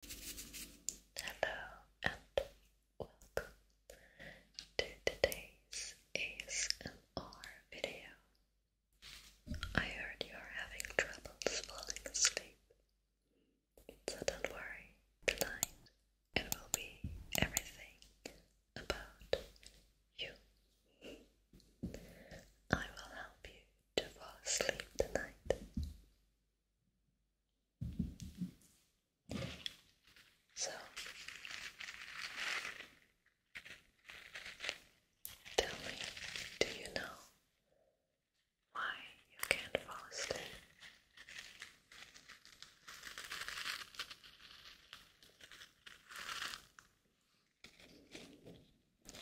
Hello and welcome to today's ASMR video. I heard you're having trouble falling asleep, so don't worry. Tonight it will be everything about you. I will help you to fall asleep tonight. So tell me, do you know why you can't fall Is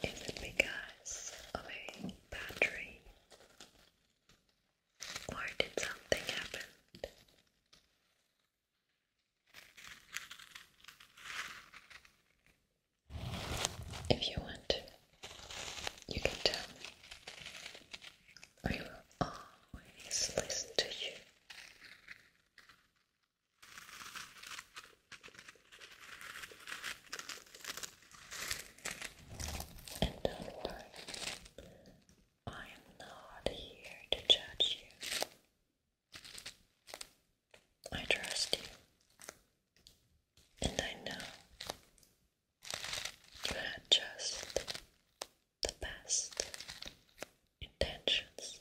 it because of a bad or did something happen? If you want, you can tell me. I will always listen to you. And don't worry, I am not here to judge you. I trust you, and I know you had just the best intentions.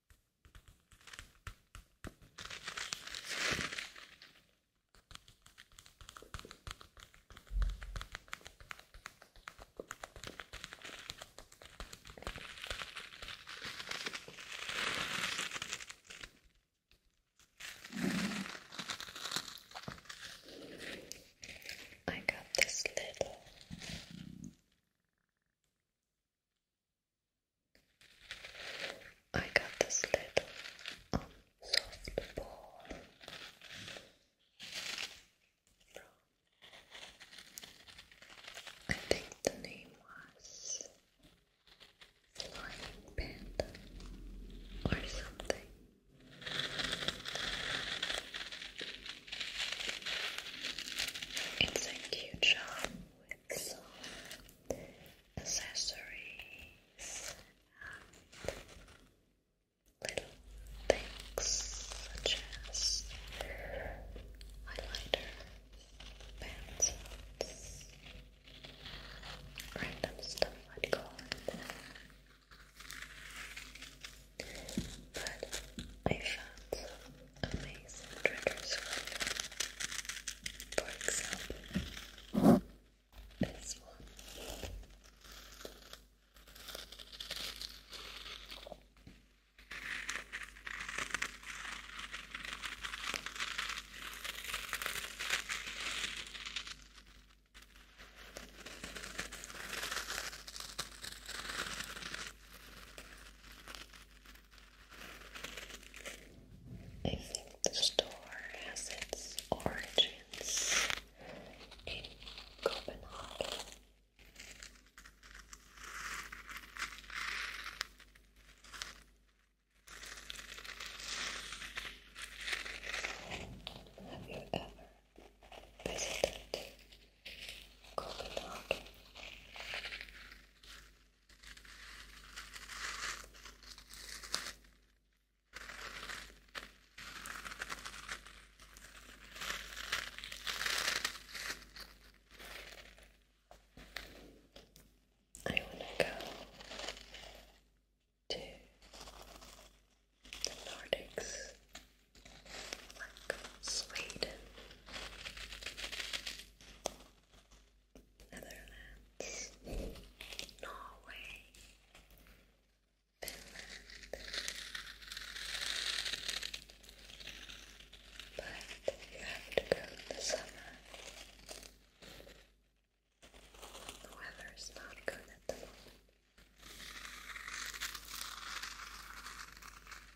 I got this little I got this little um, soft I think the name was Flying Panda or something. It's a cute shop with some accessories and little things such as highlighter, pencils, random stuff but I found some amazing triggers you. For example, this one. I think the store has its origins in Copenhagen. Have you ever visited Copenhagen. I want to go to the Nordics. Look, Sweden, Netherlands, Norway, Finland. But you have to go in the summer. The weather is not good at the moment.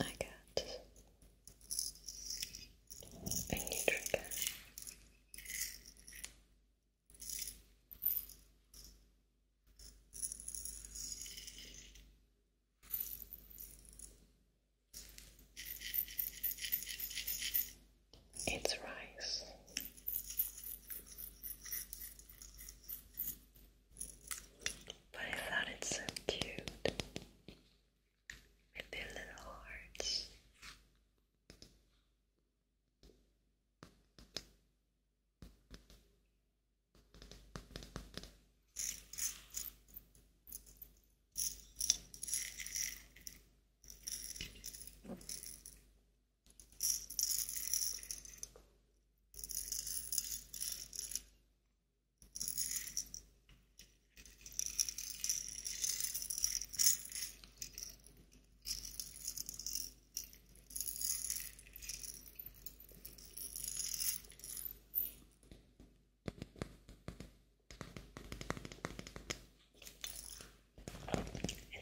I got a new trigger. It's rice. But I thought it's so cute with their little hearts. It's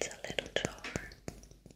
a little jar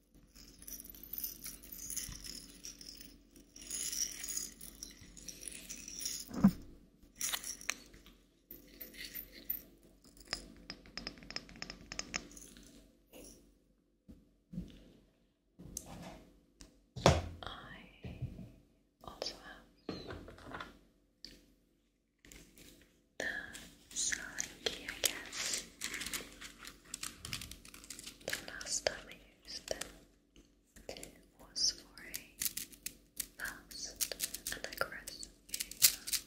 I also have the selling I guess. The last time I used them was for a fast and aggressive shaver.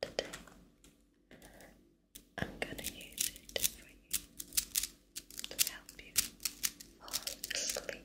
But today I'm gonna use it you to help you fall asleep.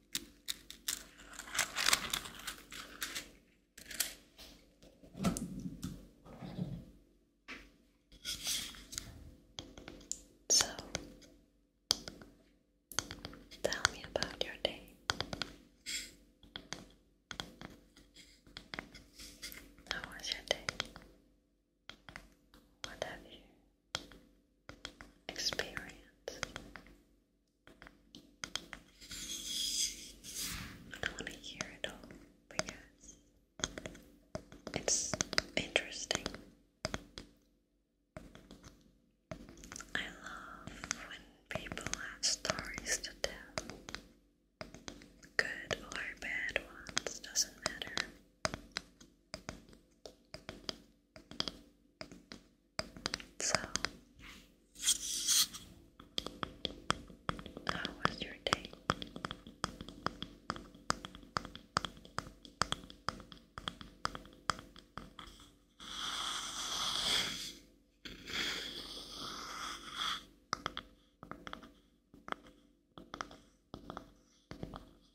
So, tell me about your day. How was your day? What have you experience. I don't want to hear it all because it's interesting. I love when people have stories to tell. Good or bad ones, doesn't matter. So, how was your day?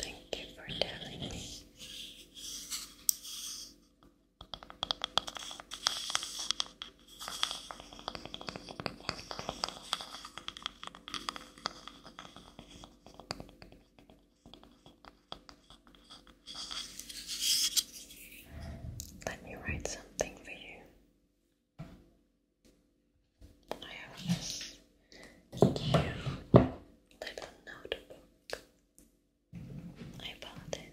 Thank you for telling me. Let me write something for you. I have this cute little notebook. I bought it.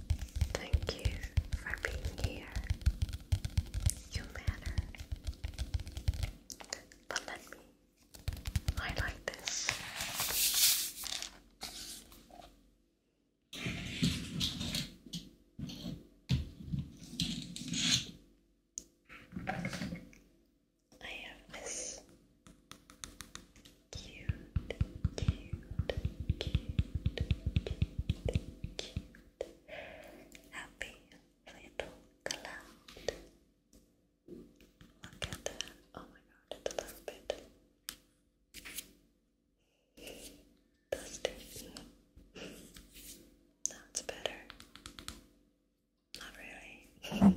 Thank you for being here. You matter. But let me highlight this. I have this cute, cute, cute, cute, happy little cloud. Look at that. Oh my god, it's a little bit dusty. That's better. Not really.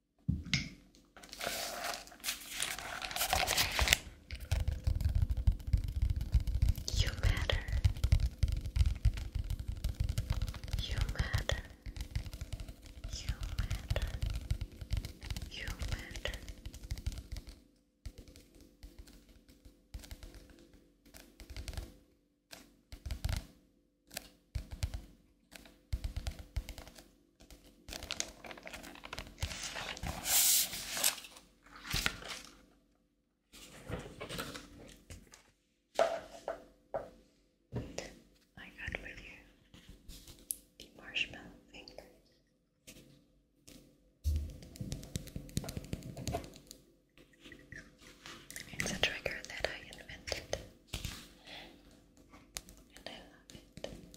You matter. You matter. You matter. You matter. You I got with you marshmallow fingers. It's a trigger that I invented, and I love it.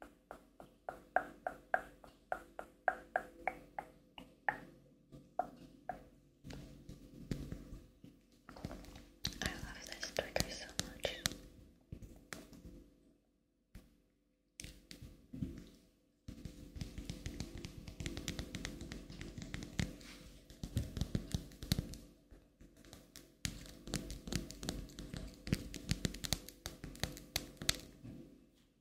I love this trigger so much.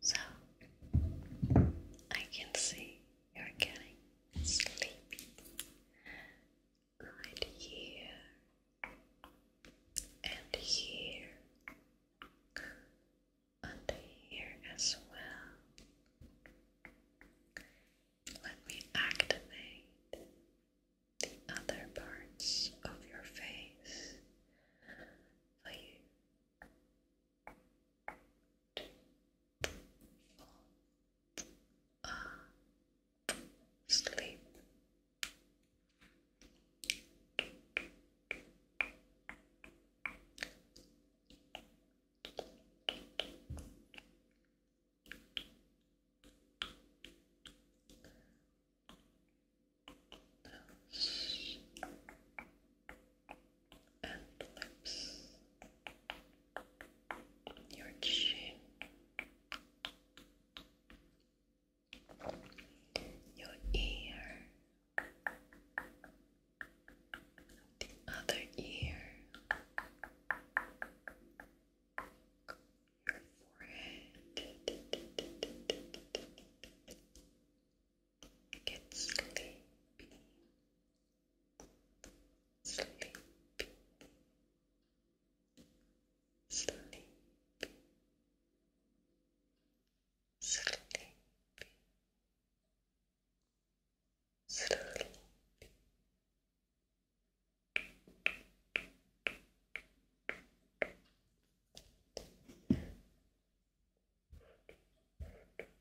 So I can see you're getting sleepy right here and here and here as well. Let me activate the other parts of your face for you fall asleep. Nose and lips your chin, your ear, the other ear, your forehead. Get sleepy sleepy, sleepy, sleepy, sleepy.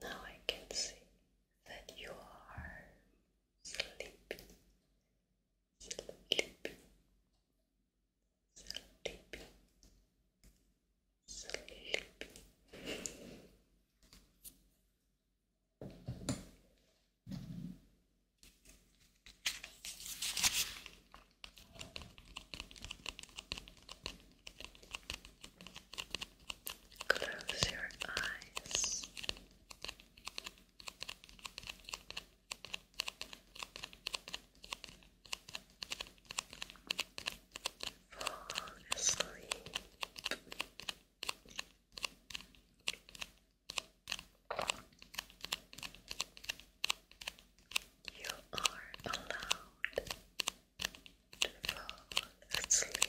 Now I can see that you are sleepy, sleepy, sleepy, sleepy. Close your eyes. Fall asleep. You are allowed to fall asleep.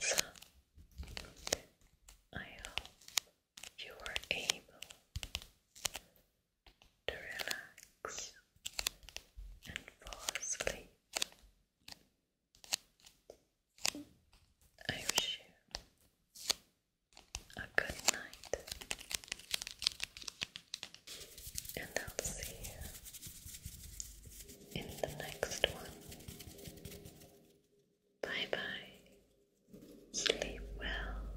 So, I hope you were able to relax and fall asleep. I wish you a good night, and I'll see you in the next one. Bye bye, sleep well.